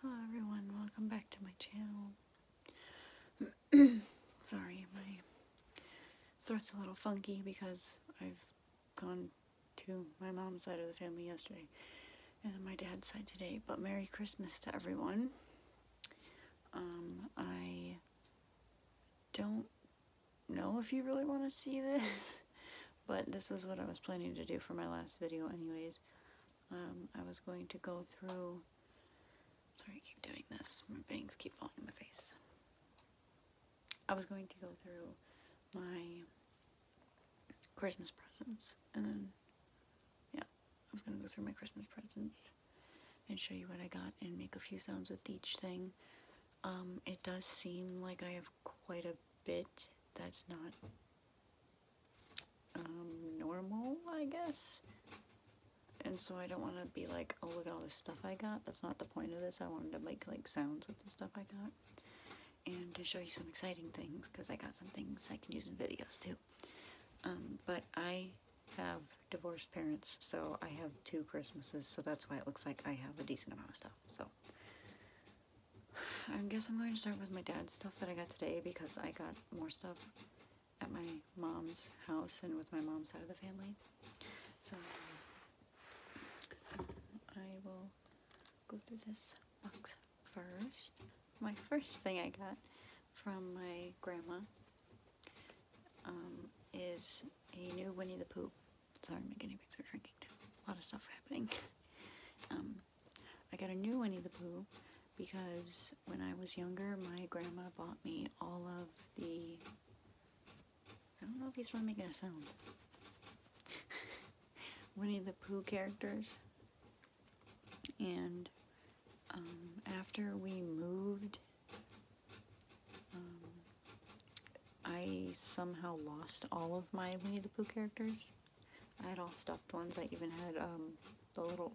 Hello everyone, welcome back to my channel. Sorry, my throat's a little funky because I've gone to my mom's side of the family yesterday and my dad's side today, but Merry Christmas to everyone. Um, I don't know if you really want to see this, but this was what I was planning to do for my last video anyways. Um, I was going to go through. Sorry, keep doing this. My bangs keep falling in my face. I was going to go through my Christmas presents and then, yeah, I was going to go through my Christmas presents and show you what I got and make a few sounds with each thing. Um, it does seem like I have quite a bit that's not um, normal, I guess. And so I don't want to be like, oh, look at all this stuff I got. That's not the point of this. I wanted to make like sounds with the stuff I got. And to show you some exciting things, because I got some things I can use in videos too. Um, but I have divorced parents, so I have two Christmases, so that's why it looks like I have a decent amount of stuff. So I guess I'm going to start with my dad's stuff that I got today because I got more stuff at my mom's house and with my mom's side of the family. So I will go through this box first. My first thing I got from my grandma um, is a new Winnie the Pooh. Sorry, I'm getting a picture drinking. A lot of stuff happening. Um, I got a new Winnie the Pooh because when I was younger, my grandma bought me all of the. I don't know if he's trying to make a sound. Winnie the Pooh characters. And um, after we moved, um, I somehow lost all of my Winnie the Pooh characters. I had all stuffed ones. I even had um, the little,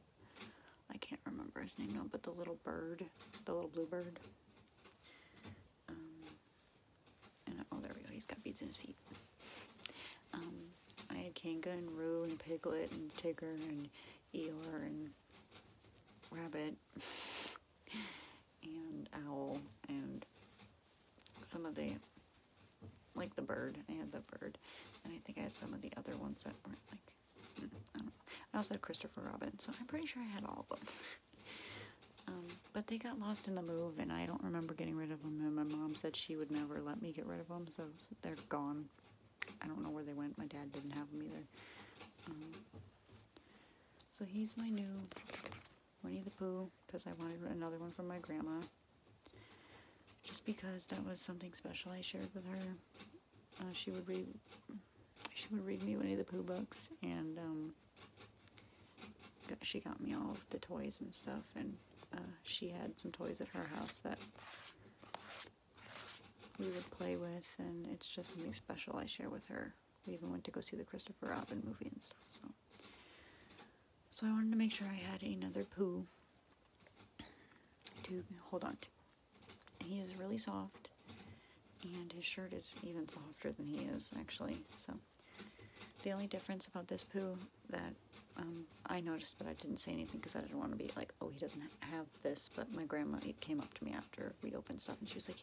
I can't remember his name now, but the little bird, the little bluebird. Um, and oh, there we go. He's got beads in his feet. Um, I had Kangaroo and Roo and Piglet and Tigger and Eeyore and Rabbit and Owl and some of the, like the bird. I had the bird. And I think I had some of the other ones that weren't like, I also had Christopher Robin, so I'm pretty sure I had all of them. Um, but they got lost in the move, and I don't remember getting rid of them. And my mom said she would never let me get rid of them, so they're gone. I don't know where they went. My dad didn't have them either. Um, so he's my new Winnie the Pooh, because I wanted another one from my grandma just because that was something special I shared with her. Uh, she would read she would read me Winnie the Pooh books, and um, she got me all of the toys and stuff, and uh, she had some toys at her house that we would play with, and it's just something special I share with her. We even went to go see the Christopher Robin movie and stuff, so so I wanted to make sure I had another poo to hold on to. He is really soft, and his shirt is even softer than he is, actually. So the only difference about this poo that um, I noticed, but I didn't say anything because I didn't want to be like, oh, he doesn't have this. But my grandma came up to me after we opened stuff, and she was like,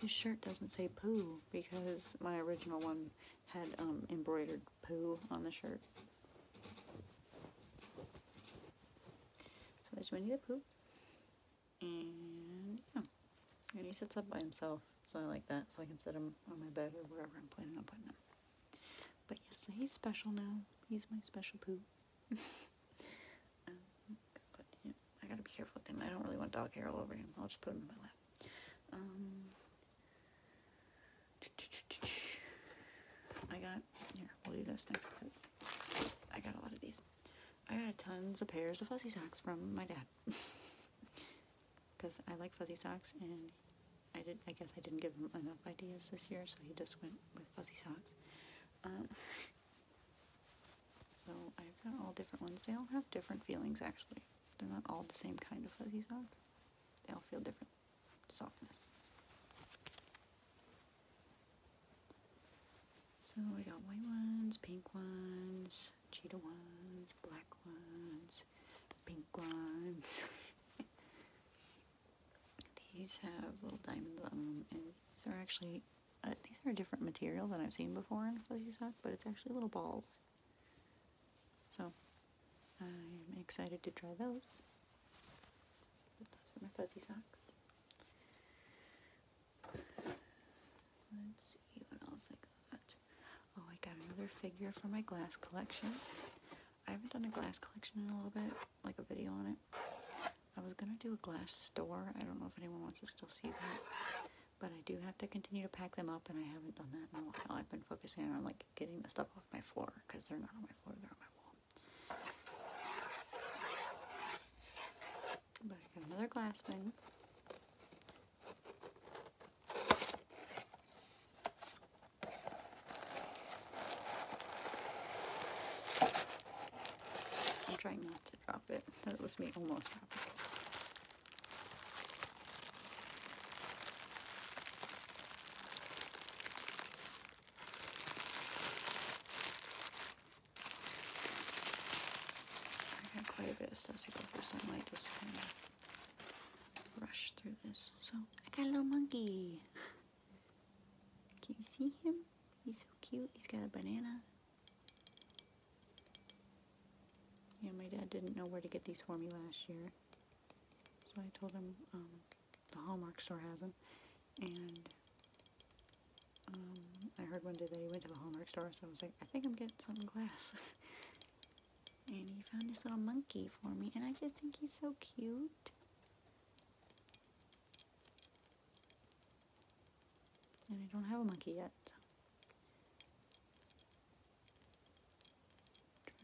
his shirt doesn't say poo because my original one had um, embroidered poo on the shirt. So I just there's Winnie the Pooh. And yeah. And he sits up by himself, so I like that. So I can sit him on my bed or wherever I'm planning on putting him. But yeah, so he's special now. He's my special poo. Um, I gotta be careful with him. I don't really want dog hair all over him. I'll just put him in my lap. Um, I got, we'll do this next because I got a lot of these. I got tons of pairs of fuzzy socks from my dad. Because I like fuzzy socks and I did. I guess I didn't give him enough ideas this year, so he just went with fuzzy socks. Um, so I've got all different ones. They all have different feelings, actually. They're not all the same kind of fuzzy sock. They all feel different softness. So we got white ones, pink ones, cheetah ones, black ones, pink ones. these have little diamonds on them, and these are actually, uh, these are a different material than I've seen before in fuzzy sock, but it's actually little balls. So I'm excited to try those. Put those in my fuzzy socks. Let's see what else I got. Oh, I got another figure for my glass collection. I haven't done a glass collection in a little bit, like a video on it. I was going to do a glass store. I don't know if anyone wants to still see that. But I do have to continue to pack them up, and I haven't done that in a while. I've been focusing on, like, getting the stuff off my floor because they're not on my floor, they're on my wall. But I got another glass thing. I'm trying not to drop it. That was me almost dropping I got quite a bit of stuff to go through, so I might just kind of rush through this. So I got a little monkey. Can you see him? He's so cute. He's got a banana. Yeah, my dad didn't know where to get these for me last year. So I told him, um, the Hallmark store has them. And um, I heard one day that he went to the Hallmark store, so I was like, I think I'm getting something glass. and he found this little monkey for me, and I just think he's so cute. And I don't have a monkey yet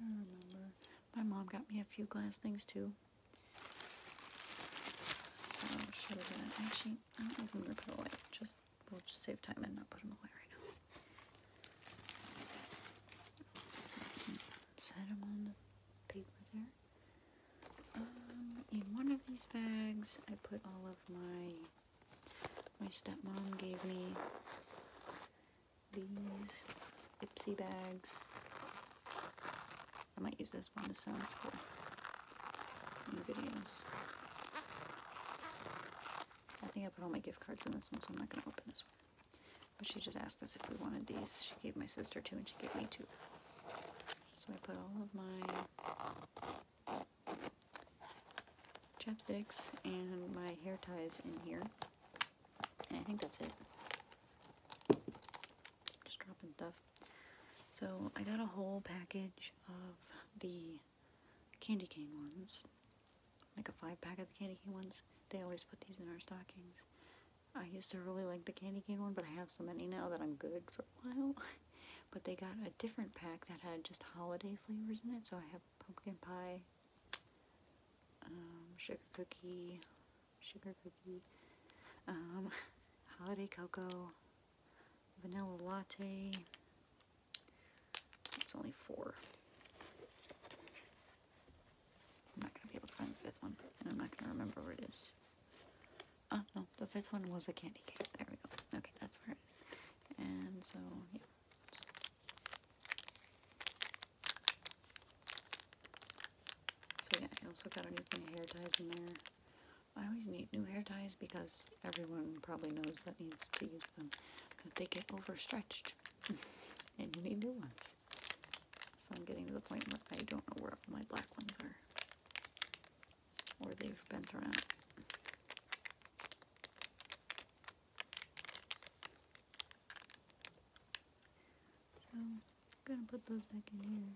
i My mom got me a few glass things too. Um, don't know if I'm gonna put away. Just we'll just save time and not put them away right now. Set them on paper there. Um, in one of these bags, I put all of my my stepmom gave me these Ipsy bags. I might use this one. to sounds cool. the videos. I think I put all my gift cards in this one, so I'm not going to open this one. But she just asked us if we wanted these. She gave my sister two, and she gave me two. So I put all of my chapsticks and my hair ties in here. I think that's it. Just dropping stuff. So I got a whole package of the candy cane ones. Like a five pack of the candy cane ones. They always put these in our stockings. I used to really like the candy cane one, but I have so many now that I'm good for a while. but they got a different pack that had just holiday flavors in it. So I have pumpkin pie, um, sugar cookie, sugar cookie, um, holiday cocoa, vanilla latte. It's only four. I'm not going to be able to find the fifth one, and I'm not going to remember where it is. Oh, no, the fifth one was a candy cane. There we go. Okay, that's where it is. And so, yeah. So yeah, I also got a new thing of hair ties in there. I always need new hair ties because everyone probably knows that needs to use them. But they get overstretched. and you need new ones. So I'm getting to the point where I don't know where my black ones are. Or they've been thrown out. So I'm gonna put those back in here.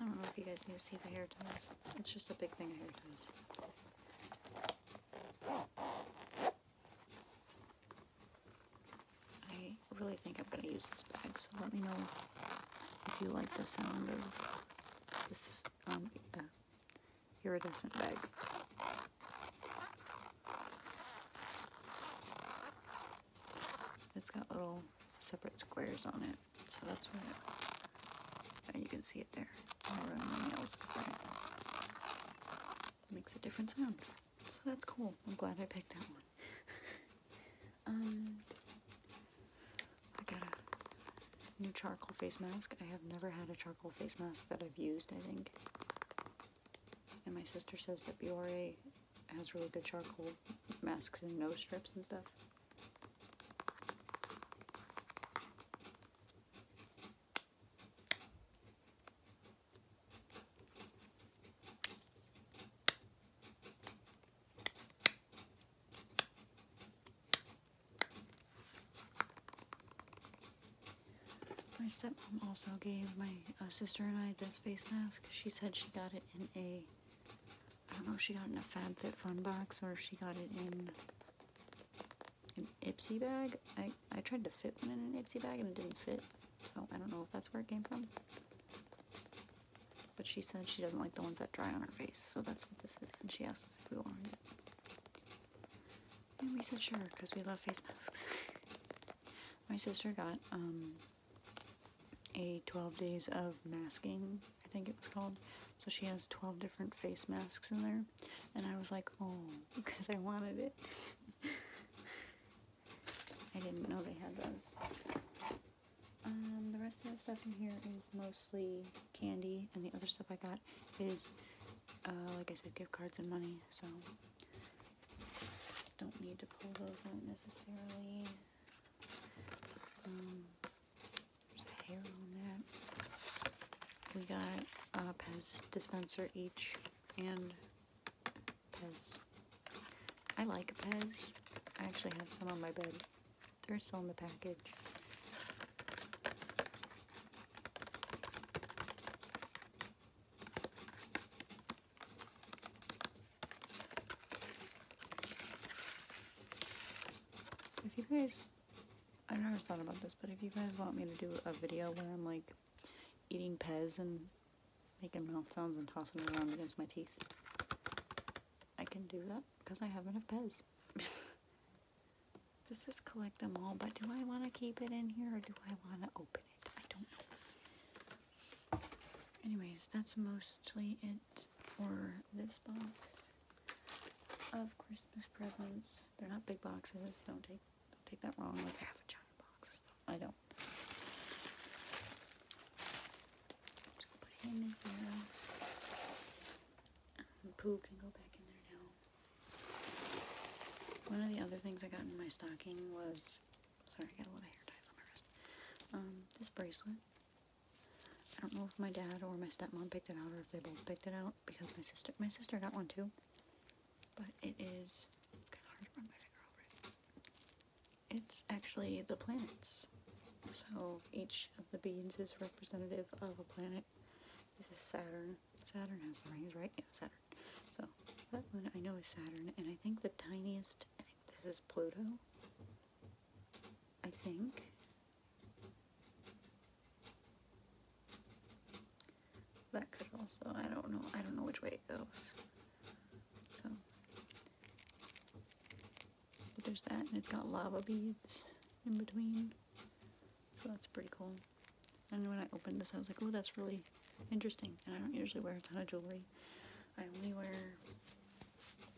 I don't know if you guys need to see the hair ties. It's just a big thing of hair ties. I really think I'm gonna use this bag, so let me know if you like the sound of this um, iridescent bag. It's got little separate squares on it, so that's what it, you can see it there. makes a different sound. So that's cool. I'm glad I picked that one. um, I got a new charcoal face mask. I have never had a charcoal face mask that I've used, I think and my sister says that BRA has really good charcoal masks and nose strips and stuff. My stepmom also gave my uh, sister and I this face mask. She said she got it in a, I don't know if she got it in a FabFitFun box or if she got it in an Ipsy bag. I, I tried to fit one in an Ipsy bag and it didn't fit, so I don't know if that's where it came from. But she said she doesn't like the ones that dry on her face, so that's what this is, and she asked us if we wanted it. And we said sure, because we love face masks. My sister got um, a 12 days of masking, I think it was called. So she has 12 different face masks in there. And I was like, oh, because I wanted it. I didn't know they had those. Um, the rest of the stuff in here is mostly candy, and the other stuff I got is, uh, like I said, gift cards and money, so don't need to pull those out necessarily. Um, there's a hair on that. We got a Pez dispenser each and Pez. I like Pez. I actually have some on my bed. They're still in the package. If you guys, i never thought about this, but if you guys want me to do a video where I'm like eating Pez and making mouth sounds and tossing it around against my teeth, I can do that because I have enough Pez. this collect them all, but do I want to keep it in here or do I want to open it? I don't know anyways, that's mostly it for this box of Christmas presents. They're not big boxes. Don't take don't take that wrong. Like I a giant box. I don't. just put him in here. And can go back in there now. One of the other things I got in my stocking was Sorry, I got a lot of hair ties on my wrist. Um, this bracelet. I don't know if my dad or my stepmom picked it out or if they both picked it out because my sister my sister got one too. But it is it's its actually the planets. So each of the beads is representative of a planet. This is Saturn. Saturn has rings, right? Yeah, Saturn. So that one I know is Saturn, and I think the tiniest, I think this is Pluto. I think. That could also, I don't know, I don't know which way it goes. So, but there's that, and it's got lava beads in between. So that's pretty cool. And when I opened this, I was like, oh, that's really interesting. And I don't usually wear a ton of jewelry. I only wear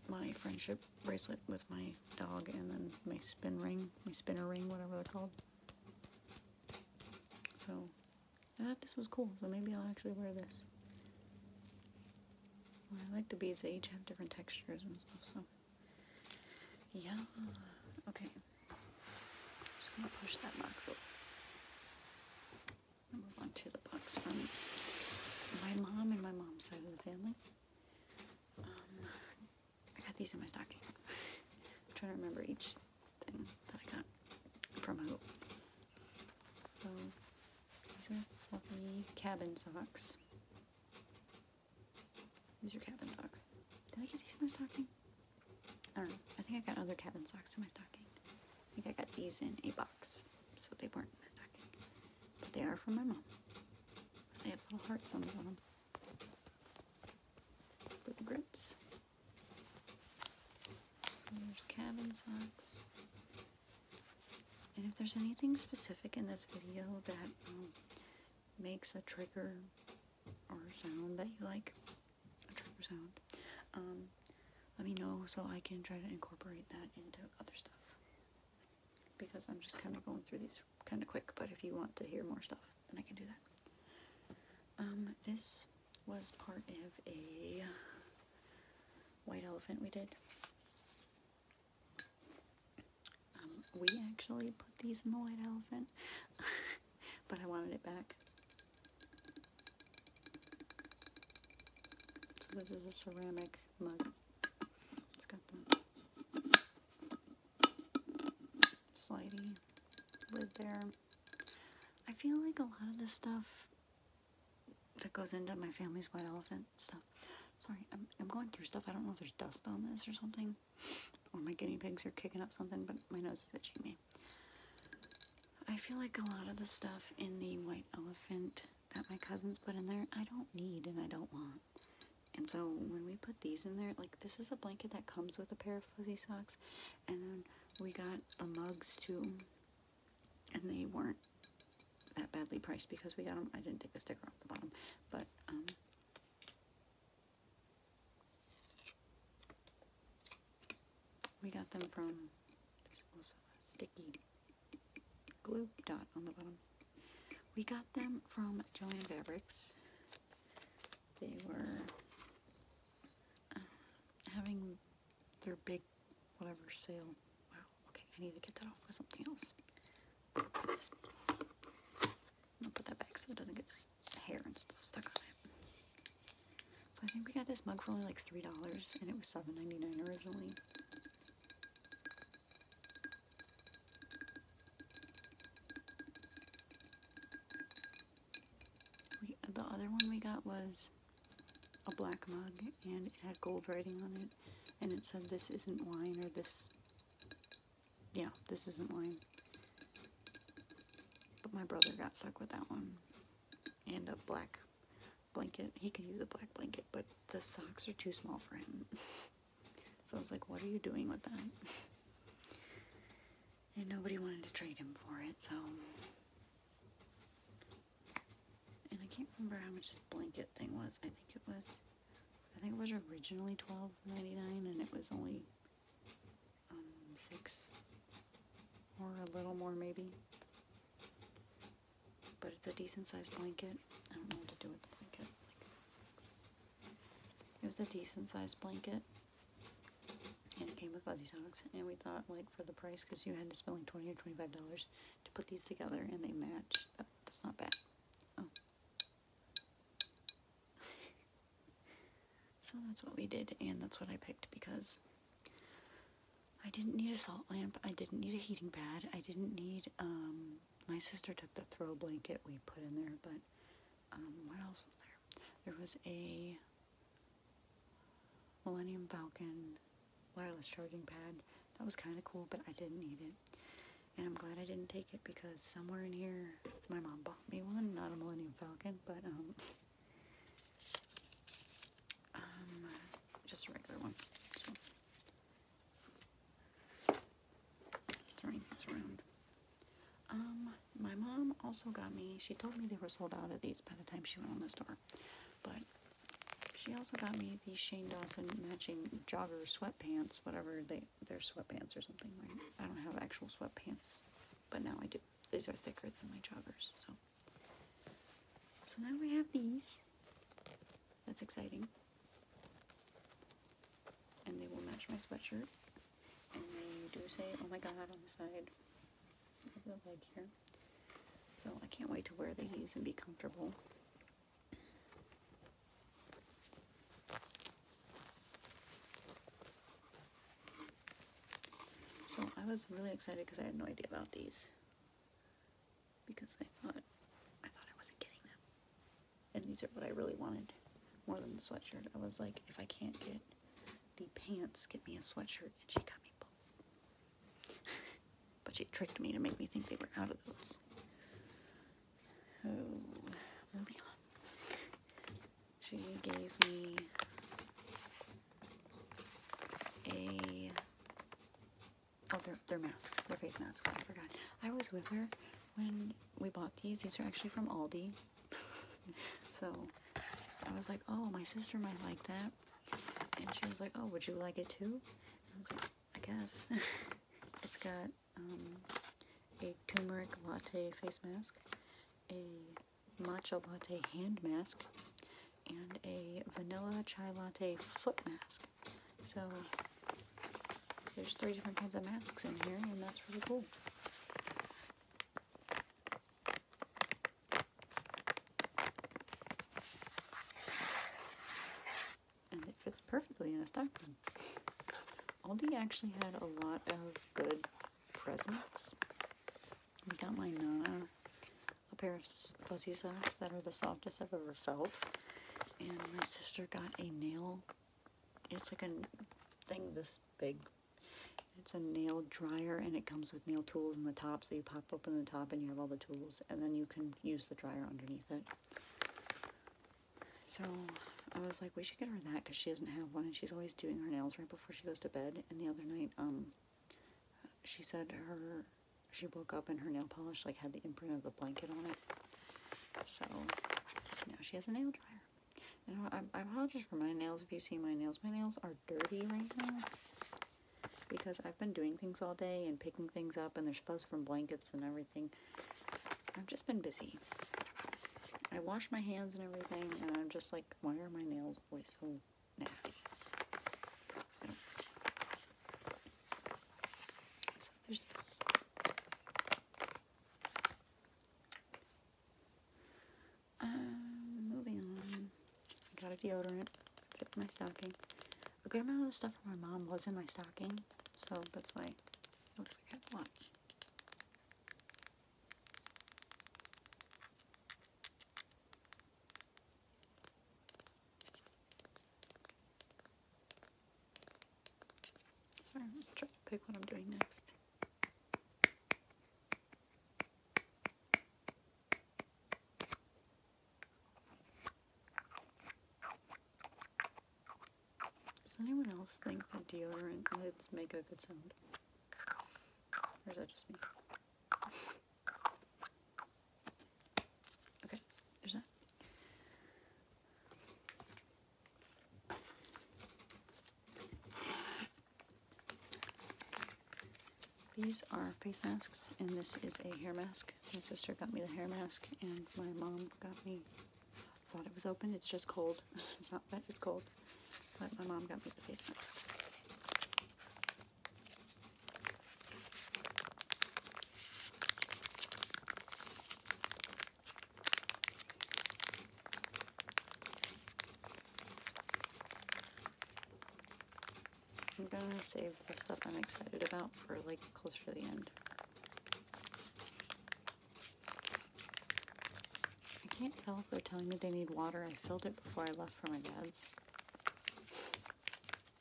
my friendship bracelet with my dog and then my spin ring, my spinner ring, whatever they're called. So, I thought this was cool, so maybe I'll actually wear this. I like the beads, they each have different textures and stuff, so. Yeah. Okay. just gonna push that box open. I'll move on to the box from my mom and my mom's side of the family. Um, I got these in my stocking. trying to remember each thing that I got from who. So, these are fluffy cabin socks. These are cabin socks. Did I get these in my stocking? I don't know. I think I got other cabin socks in my stocking. I think I got these in a box, so they weren't in my stocking. But they are from my mom. They have little hearts on them. bottom. For the grips. there's cabin socks. And if there's anything specific in this video that um, makes a trigger or sound that you like, ultrasound. Um, let me know so I can try to incorporate that into other stuff. Because I'm just kind of going through these kind of quick, but if you want to hear more stuff, then I can do that. Um, this was part of a white elephant we did. Um, we actually put these in the white elephant, but I wanted it back. So this is a ceramic mug. It's got the slidey lid there. I feel like a lot of the stuff that goes into my family's white elephant stuff. Sorry, I'm, I'm going through stuff. I don't know if there's dust on this or something. Or my guinea pigs are kicking up something, but my nose is itching me. I feel like a lot of the stuff in the white elephant that my cousins put in there, I don't need and I don't want. And so when we put these in there, like this is a blanket that comes with a pair of fuzzy socks. And then we got the mugs too. And they weren't that badly priced because we got them. I didn't take the sticker off the bottom. But, um, we got them from, there's also sticky glue dot on the bottom. We got them from Joann Fabrics. They were um, having their big whatever sale. Wow, okay, I need to get that off with something else. I'll put that back so it doesn't get hair and stuff stuck on it. So I think we got this mug for only like $3 and it was $7.99 originally. the other one we got was a black mug and it had gold writing on it and it said this isn't wine or this yeah this isn't wine but my brother got stuck with that one and a black blanket. He could use a black blanket, but the socks are too small for him. so I was like, what are you doing with that? And nobody wanted to trade him for it, so. And I can't remember how much this blanket thing was. I think it was, I think it was originally $12.99 and it was only um, six or a little more maybe. But it's a decent sized blanket. I don't know what to do with the blanket. It was a decent sized blanket. And it came with fuzzy socks. And we thought, like, for the price, because you had to spend like 20 or $25 to put these together and they match. that's not bad. Oh. so that's what we did. And that's what I picked because I didn't need a salt lamp. I didn't need a heating pad. I didn't need, um, my sister took the throw blanket we put in there, but, um, what else was there? There was a Millennium Falcon wireless charging pad. That was kind of cool, but I didn't need it. And I'm glad I didn't take it because somewhere in here, my mom bought me one, not a Millennium Falcon, but, um, um, just a regular one. Throwing this around. Um, my mom also got me, she told me they were sold out of these by the time she went on the store, but she also got me these Shane Dawson matching jogger sweatpants, whatever they, they're sweatpants or something. I don't have actual sweatpants, but now I do. These are thicker than my joggers, so so now we have these. That's exciting. And they will match my sweatshirt. And they do say, oh my god, on the side of the leg here. So I can't wait to wear these and be comfortable. So I was really excited because I had no idea about these because I thought I thought I wasn't getting them. And these are what I really wanted more than the sweatshirt. I was like, if I can't get the pants, get me a sweatshirt, and she got me both. but she tricked me to make me think they were out of those. Oh, moving on. She gave me a oh they're, they're masks they're face masks I forgot I was with her when we bought these these are actually from Aldi so I was like oh my sister might like that and she was like oh would you like it too I was like I guess it's got um, a turmeric latte face mask a matcha latte hand mask and a vanilla chai latte foot mask. So there's three different kinds of masks in here and that's really cool. And it fits perfectly in a stocking. Aldi actually had a lot of good presents. We got my Nana a pair of fuzzy socks that are the softest I've ever felt. And my sister got a nail. It's like a thing this big. It's a nail dryer and it comes with nail tools in the top. So you pop open the top and you have all the tools. And then you can use the dryer underneath it. So I was like, we should get her that because she doesn't have one. And she's always doing her nails right before she goes to bed. And the other night, um, she said her she woke up and her nail polish like had the imprint of the blanket on it. So now she has a nail dryer. And I, I apologize for my nails if you see my nails. My nails are dirty right now because I've been doing things all day and picking things up and there's fuzz from blankets and everything. I've just been busy. I wash my hands and everything and I'm just like, why are my nails always so nasty. So there's this. Um, moving on. I got a deodorant. Fits my stocking. A good amount of the stuff from my mom was in my stocking, so that's why it looks like I have a lot. Sorry, i to pick what I'm doing next. Does anyone else think that deodorant lids make a good sound? Or is that just me? Okay, there's that. These are face masks, and this is a hair mask. My sister got me the hair mask, and my mom got me, thought it was open, it's just cold. it's not wet, it's cold. But my mom got me the face mask. I'm gonna save the stuff I'm excited about for like closer to the end. I can't tell if they're telling me they need water. I filled it before I left for my dad's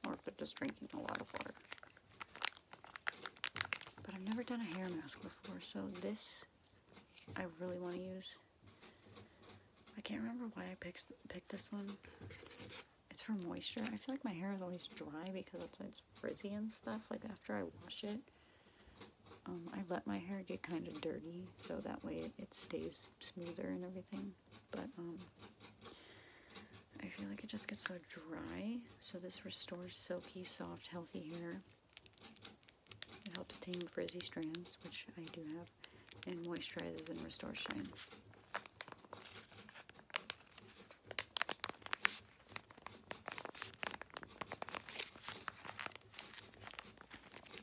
or if they're just drinking a lot of water. But I've never done a hair mask before, so this I really want to use. I can't remember why I picked, picked this one. It's for moisture. I feel like my hair is always dry because it's frizzy and stuff, like after I wash it. Um, I let my hair get kind of dirty so that way it stays smoother and everything but um, I feel like it just gets so dry. So this restores silky, soft, healthy hair. It helps tame frizzy strands, which I do have, and moisturizes and restores shine.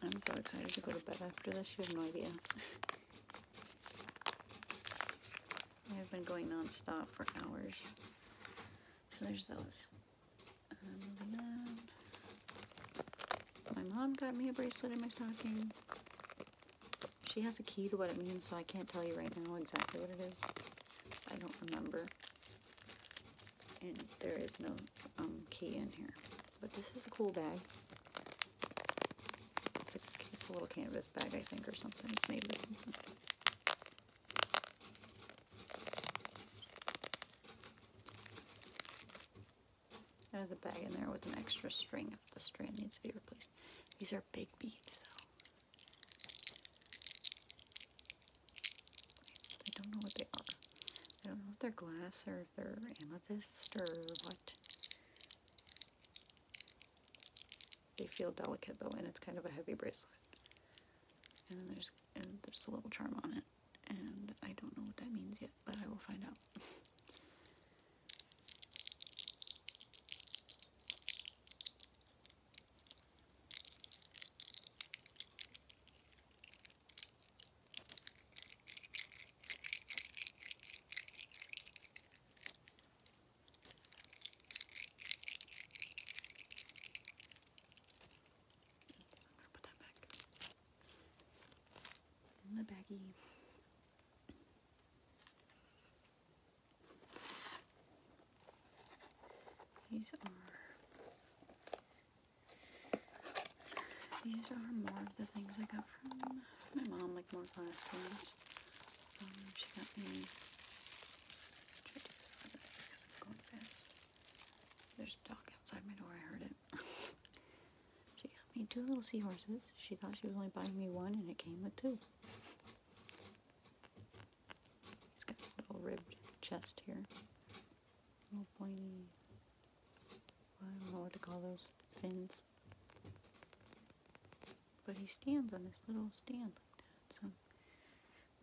I'm so excited to go to bed after this, you have no idea. I've been going non-stop for hours. So there's those. Um, my mom got me a bracelet in my stocking. She has a key to what it means, so I can't tell you right now exactly what it is. I don't remember. And there is no um, key in here. But this is a cool bag. It's a, little canvas bag, I think, or something. It's made with something. There's a bag in there with an extra string if the strand needs to be replaced. These are big beads, though. I don't know what they are. I don't know if they're glass or if they're amethyst or what. They feel delicate though, and it's kind of a heavy bracelet. And there's a little charm on it, and I don't know what that means yet, but I will find out put that back the baggie. These are these are more of the things I got from my mom like more plastic ones. Um, she got me. Try to do this harder because I'm going fast. There's a dog outside my door. I heard it. she got me two little seahorses. She thought she was only buying me one, and it came with two. He's got a little ribbed chest here. Little pointy. I don't know what to call those fins. But he stands on this little stand like that, so.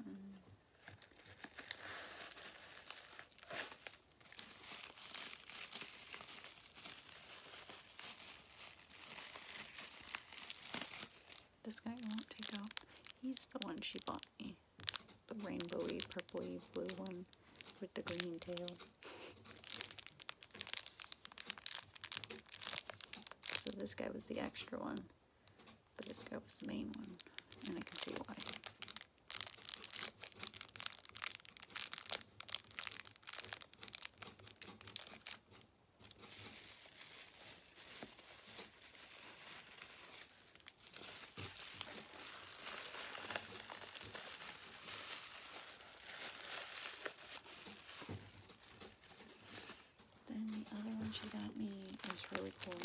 Um, this guy won't take off. He's the one she bought me. The rainbowy, purpley, blue one with the green tail. So this guy was the extra one, but this guy was the main one, and I can see why. Then the other one she got me is really cool.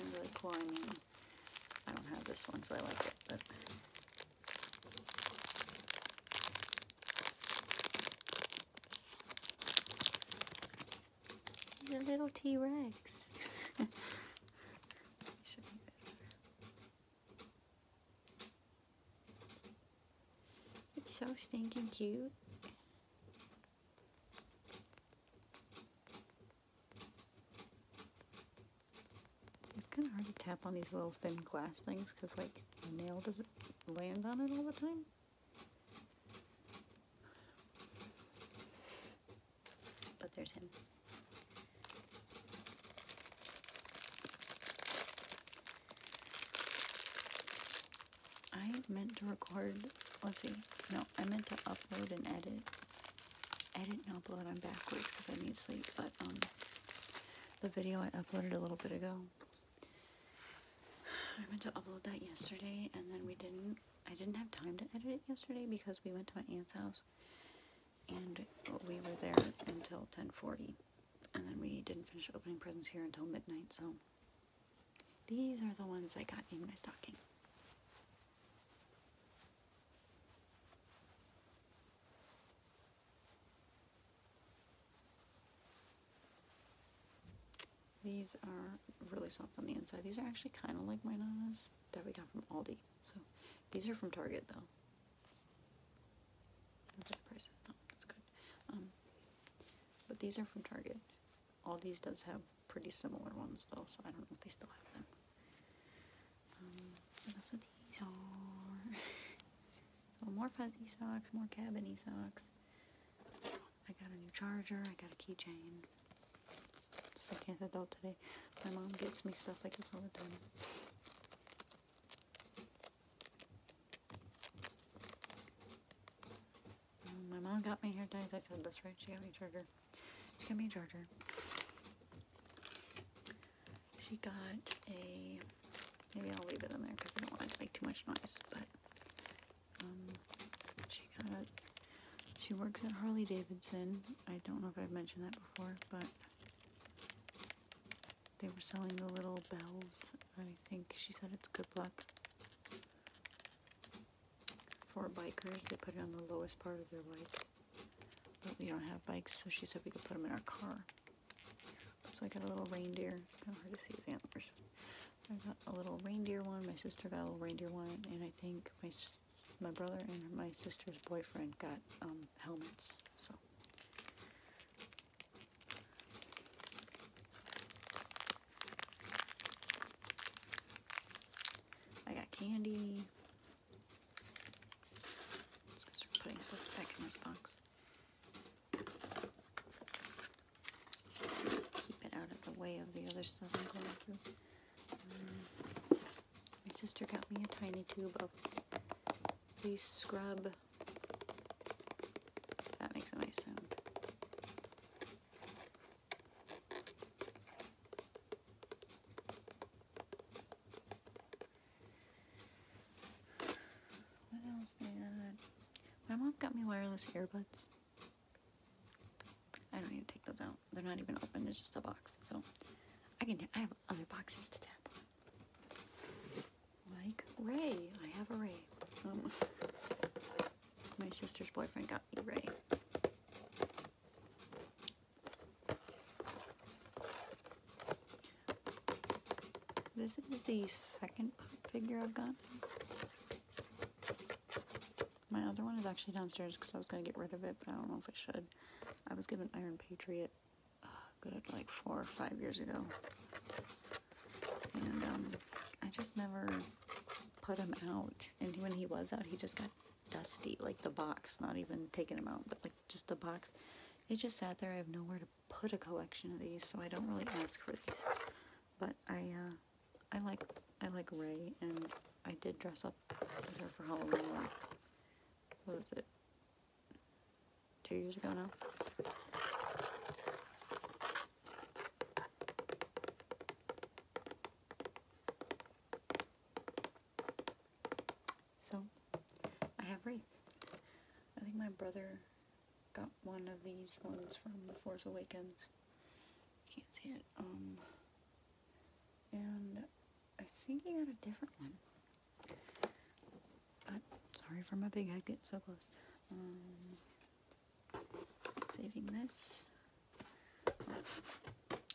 And really cool, I mean, I don't have this one, so I like it, but... He's a little T-Rex. It's so stinking cute. It's kind of hard to tap on these little thin glass things because like the nail doesn't land on it all the time. But there's him. I meant to record, let's see, no, I meant to upload and edit. Edit and upload, I'm backwards because I need sleep, but um, the video I uploaded a little bit ago. I meant to upload that yesterday and then we didn't. I didn't have time to edit it yesterday because we went to my aunt's house and we were there until 10.40 and then we didn't finish opening presents here until midnight so these are the ones I got in my stocking These are really soft on the inside. These are actually kind of like my nanas that we got from Aldi. So these are from Target though. That's price. Oh, that's good. Um, but these are from Target. All these does have pretty similar ones though, so I don't know if they still have them. Um, so that's what these are. so more fuzzy socks, more cabiny socks. I got a new charger. I got a keychain. So I can't adult today. My mom gets me stuff like this all the time. Um, my mom got me hair dyes. I said that's right. She got me a charger. She got me a charger. She got a... Maybe I'll leave it in there because I don't want to make too much noise. But um, she got a... She works at Harley Davidson. I don't know if I've mentioned that before, but they were selling the little bells. I think she said it's good luck for bikers. They put it on the lowest part of their bike. But we don't have bikes, so she said we could put them in our car. So I got a little reindeer. kind of hard to see his antlers. I got a little reindeer one. My sister got a little reindeer one. And I think my my brother and my sister's boyfriend got um, helmets. So. I got candy. Let's go start putting stuff back in this box. Keep it out of the way of the other stuff I'm going through. Mm. My sister got me a tiny tube of face scrub. That makes a nice sound. What else My mom got me wireless earbuds. I don't even take those out they're not even open. It's just a box. So I can. I have other boxes to tap on. Like Ray. I have a Ray. Um, my sister's boyfriend got me Ray. This is the second figure I've gotten. My other one is actually downstairs because I was going to get rid of it, but I don't know if I should. I was given Iron Patriot uh, good like four or five years ago. And um, I just never put him out. And when he was out, he just got dusty, like the box, not even taking him out, but like just the box. It just sat there. I have nowhere to put a collection of these, so I don't really ask for these. But I, uh, I like, I like Ray, and I did dress up as her for Halloween what was it? Two years ago now. So, I have Ray. I think my brother got one of these ones from The Force Awakens. Can't see it. Um, and I think he got a different one. But, uh, sorry for my big head getting so close. Um, saving this.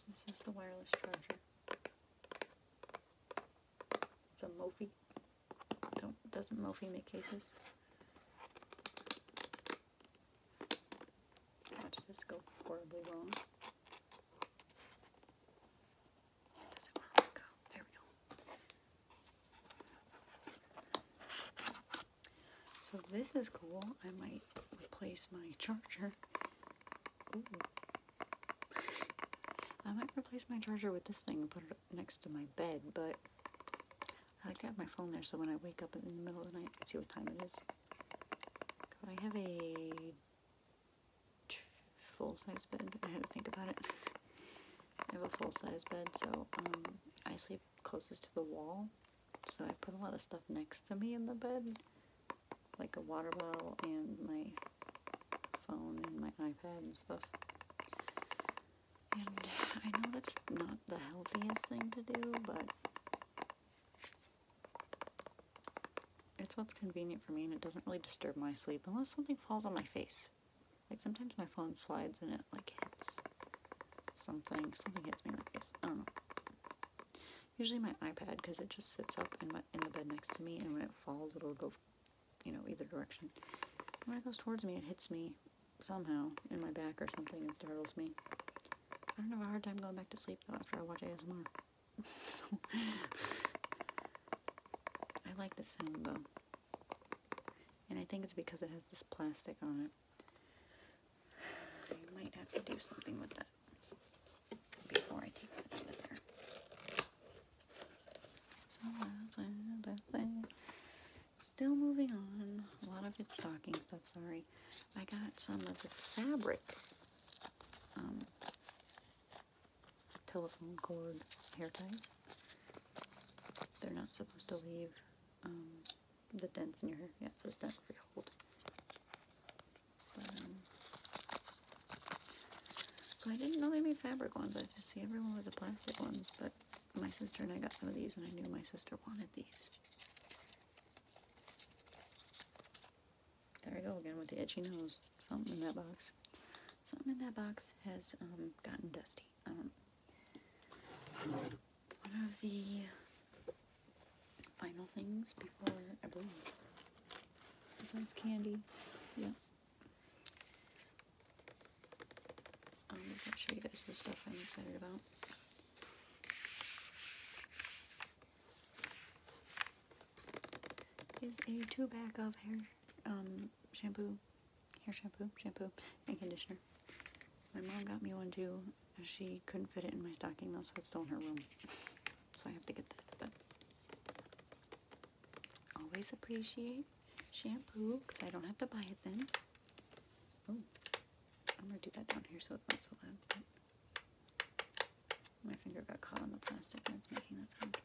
This is the wireless charger. It's a Mophie. Don't, doesn't Mophie make cases? Watch this go horribly wrong. So this is cool. I might replace my charger. I might replace my charger with this thing and put it next to my bed, but I like to have my phone there so when I wake up in the middle of the night, I see what time it is. I have a full-size bed. I had to think about it. I have a full-size bed, so um, I sleep closest to the wall. So I put a lot of stuff next to me in the bed, like a water bottle and my phone and my iPad and stuff. And I know that's not the healthiest thing to do, but it's what's convenient for me and it doesn't really disturb my sleep unless something falls on my face. Like sometimes my phone slides and it like hits something. Something hits me like this. I don't know. Usually my iPad because it just sits up in, my, in the bed next to me and when it falls it'll go, you know, either direction. when it goes towards me it hits me somehow in my back or something and startles me. I don't have a hard time going back to sleep though after I watch ASMR. I like the sound though. And I think it's because it has this plastic on it. I might have to do something with that before I take that out of there. So, still moving on. A lot of it's stocking stuff, sorry. I got some of the fabric um, telephone cord hair ties. They're not supposed to leave um, the dents in your hair. Yeah, it says dent free hold. Um, so I didn't know they made fabric ones. I just see everyone with the plastic ones, but my sister and I got some of these, and I knew my sister wanted these. There we go again with the itchy nose. Something in that box. Something in that box has um, gotten dusty. Um, one of the final things before I believe Besides candy. Yeah. I'm um, gonna show you guys the stuff I'm excited about is a two pack of hair um shampoo hair shampoo shampoo and conditioner my mom got me one too she couldn't fit it in my stocking though so it's still in her room so I have to get that but always appreciate shampoo because I don't have to buy it then oh, I'm gonna do that down here so it's not so loud my finger got caught on the plastic and it's making that sound.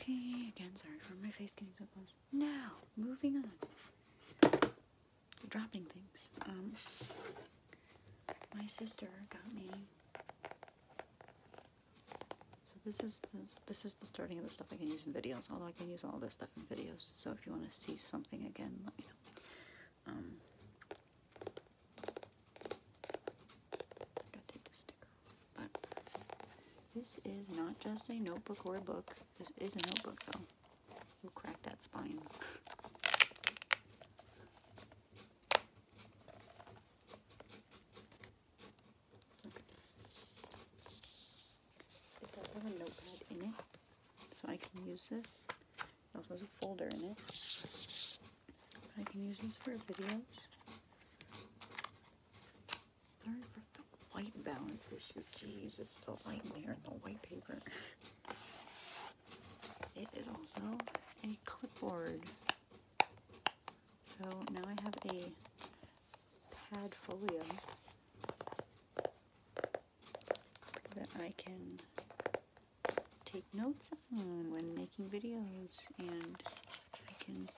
Okay, again, sorry for my face getting so close. Now, moving on. Dropping things. Um, my sister got me. So this is this, this is the starting of the stuff I can use in videos. Although I can use all this stuff videos. So if you want to see something again, let me know. Um, this is not just a notebook or a book. This is a notebook though. We'll crack that spine. It does have a notepad in it, so I can use this. It also has a folder in it. I can use this for videos. Sorry for the white balance issue. Jeez, it's so light in here in the white paper. It is also a clipboard. So now I have a pad folio that I can take notes on when making videos and I can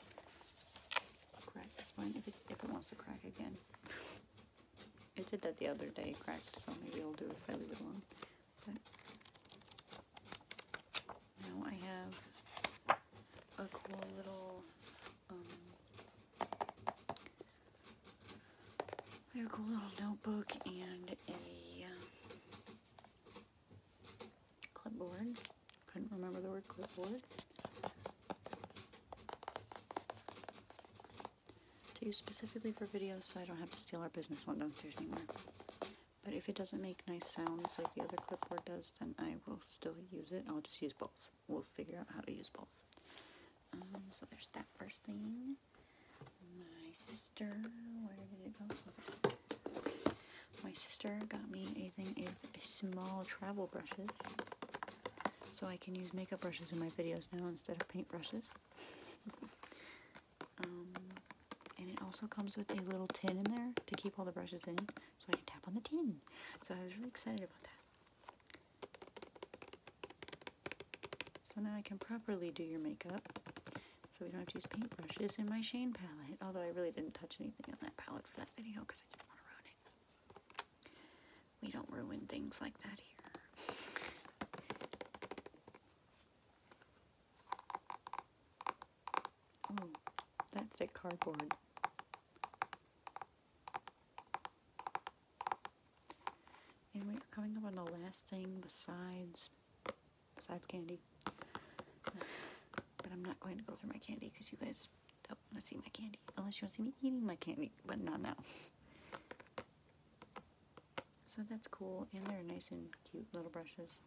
crack this one if it, wants to crack again. I did that the other day, cracked, so maybe I'll do a fairly good one. But now I have a cool little um, I have a cool little notebook and a um, clipboard. Couldn't remember the word clipboard. To use specifically for videos so I don't have to steal our business one downstairs anymore. But if it doesn't make nice sounds like the other clipboard does, then I will still use it. I'll just use both we'll figure out how to use both. Um, so there's that first thing. My sister, where did it go? My sister got me a thing of small travel brushes. So I can use makeup brushes in my videos now instead of paint brushes. Um, and it also comes with a little tin in there to keep all the brushes in so I can tap on the tin. So I was really excited about that. So now I can properly do your makeup. So we don't have to use paintbrushes in my Shane palette. Although I really didn't touch anything on that palette for that video because I did want to ruin it. We don't ruin things like that here. Oh, that's thick cardboard. And we are coming up on the last thing besides, besides candy. but I'm not going to go through my candy because you guys don't want to see my candy. Unless you want to see me eating my candy, but not now. so that's cool. And they're nice and cute little brushes.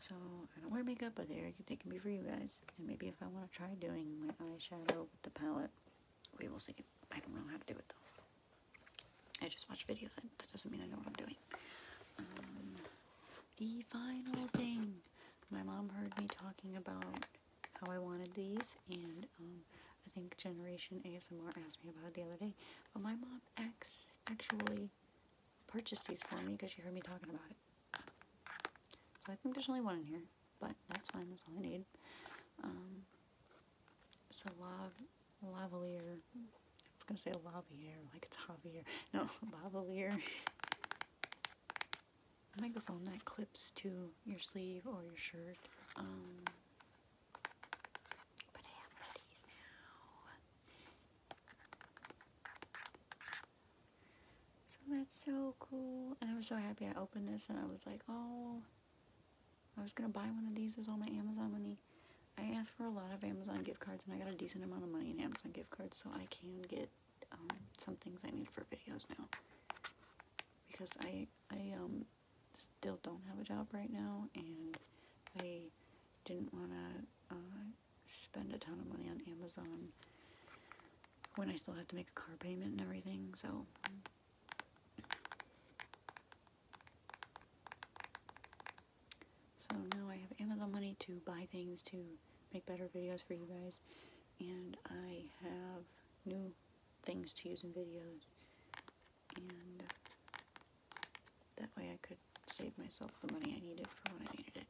So I don't wear makeup, but they can be for you guys. And maybe if I want to try doing my eyeshadow with the palette, we will see. I don't know how to do it though. I just watch videos. That doesn't mean I know what I'm doing. Um, the final thing. My mom heard me talking about how I wanted these, and um, I think Generation ASMR asked me about it the other day. But my mom actually purchased these for me because she heard me talking about it. So I think there's only one in here but that's fine, that's all I need. It's um, a lav lavalier, I was gonna say a lavier, like it's Javier, no, lavalier. I like that clips to your sleeve or your shirt. Um, but I have these now. So that's so cool. And I was so happy I opened this and I was like, oh, I was going to buy one of these with all my Amazon money. I asked for a lot of Amazon gift cards, and I got a decent amount of money in Amazon gift cards, so I can get um, some things I need for videos now. Because I, I um, still don't have a job right now, and I didn't want to uh, spend a ton of money on Amazon when I still have to make a car payment and everything, so... So now I have Amazon money to buy things to make better videos for you guys. And I have new things to use in videos. And that way I could save myself the money I needed for when I needed it.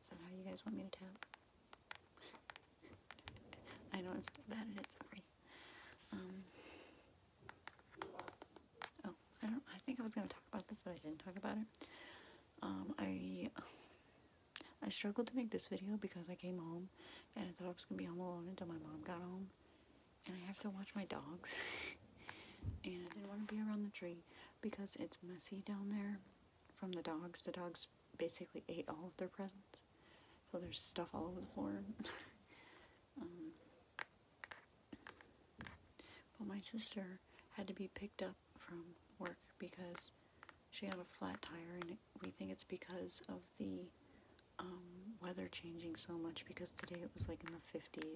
Is that how you guys want me to tap? I know I'm so bad at it, sorry. Um, oh, I don't, I think I was going to talk about this, but I didn't talk about it. Um, I, I struggled to make this video because I came home and I thought I was going to be home alone until my mom got home. And I have to watch my dogs. and I didn't want to be around the tree because it's messy down there from the dogs. The dogs basically ate all of their presents. So there's stuff all over the floor. Um, but my sister had to be picked up from work because she had a flat tire and we think it's because of the um, weather changing so much because today it was like in the 50, it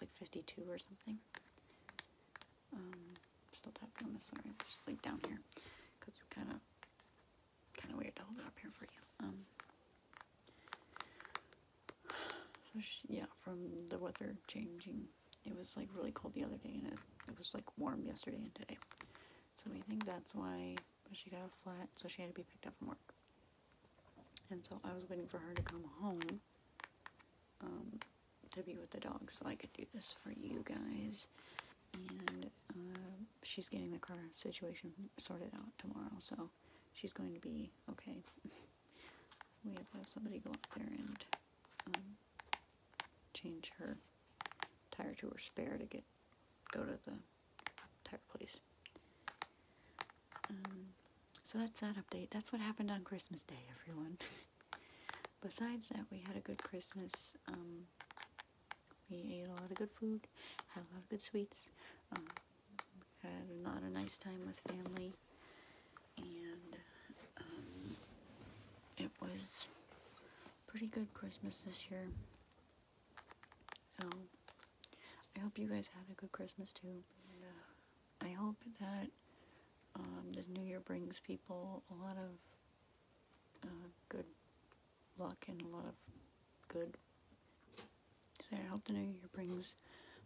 like 52 or something. Um, still tapping on this, sorry, just like down here, because it's kind of, kind of weird to hold it up here for you. Um, so yeah, from the weather changing, it was like really cold the other day, and it, it was like warm yesterday and today. So we think that's why she got a flat, so she had to be picked up from work. And so I was waiting for her to come home. Um, to be with the dogs, so I could do this for you guys. And uh, she's getting the car situation sorted out tomorrow, so she's going to be okay. we have to have somebody go up there and um, change her tire to her spare to get go to the tire place. Um, so that's that update. That's what happened on Christmas Day, everyone. Besides that, we had a good Christmas. Um, we ate a lot of good food, had a lot of good sweets, um, had a nice time with family, and um, it was pretty good Christmas this year. So, I hope you guys had a good Christmas too. I hope that um, this new year brings people a lot of uh, good luck and a lot of good. So I hope the new year brings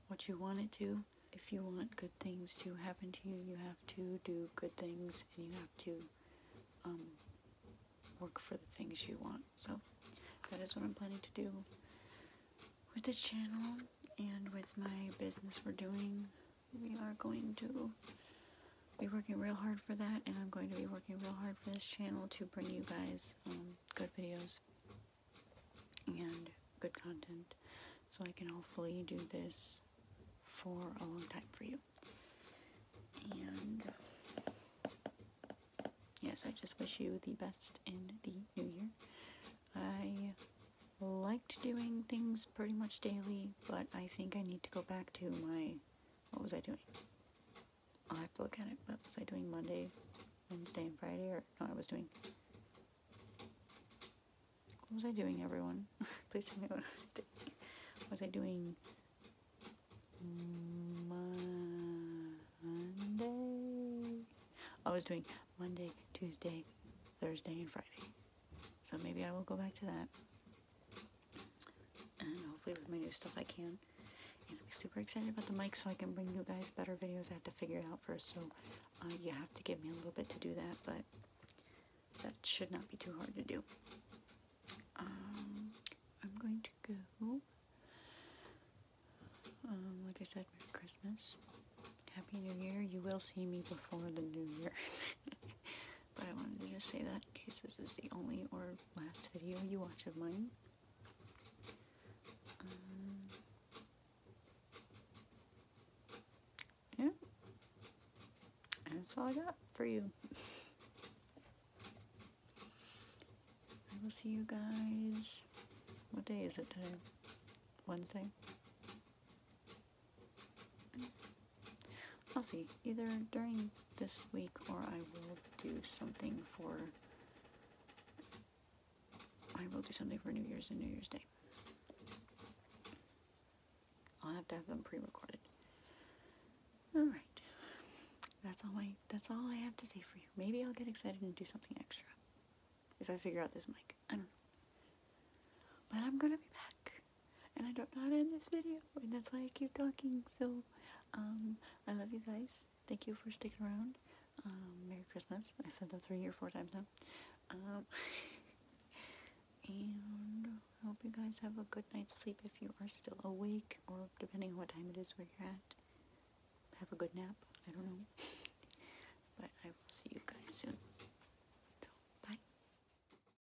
what you want it to. If you want good things to happen to you, you have to do good things and you have to um, work for the things you want. So that is what I'm planning to do with this channel and with my business we're doing. We are going to be working real hard for that, and I'm going to be working real hard for this channel to bring you guys um, good videos and good content so I can hopefully do this for a long time for you. And yes, I just wish you the best in the new year. I liked doing things pretty much daily, but I think I need to go back to my. What was I doing? I'll have to look at it. What was I doing Monday, Wednesday, and Friday? Or no, I was doing. What was I doing, everyone? Please tell me what I was doing. Was I doing Monday? I was doing Monday, Tuesday, Thursday, and Friday. So maybe I will go back to that. And hopefully with my new stuff I can. I'm super excited about the mic so I can bring you guys better videos. I have to figure it out first, so uh, you have to give me a little bit to do that, but that should not be too hard to do. Um, I'm going to go, um, like I said, Merry Christmas. Happy New Year. You will see me before the New Year. But I wanted to just say that in case this is the only or last video you watch of mine. Um, yeah. that's all I got for you. I will see you guys. What day is it today? Wednesday? I'll see. Either during this week or I will do something for... I will do something for New Year's and New Year's Day. I'll have to have them pre-recorded. Alright. That's all I that's all I have to say for you. Maybe I'll get excited and do something extra. If I figure out this mic. But I'm gonna be back and I don't know how to end this video, and that's why I keep talking, so, um, I love you guys, thank you for sticking around, um, Merry Christmas, I said that three or four times now, um, and I hope you guys have a good night's sleep if you are still awake, or depending on what time it is where you're at, have a good nap, I don't know, but I will see you guys soon.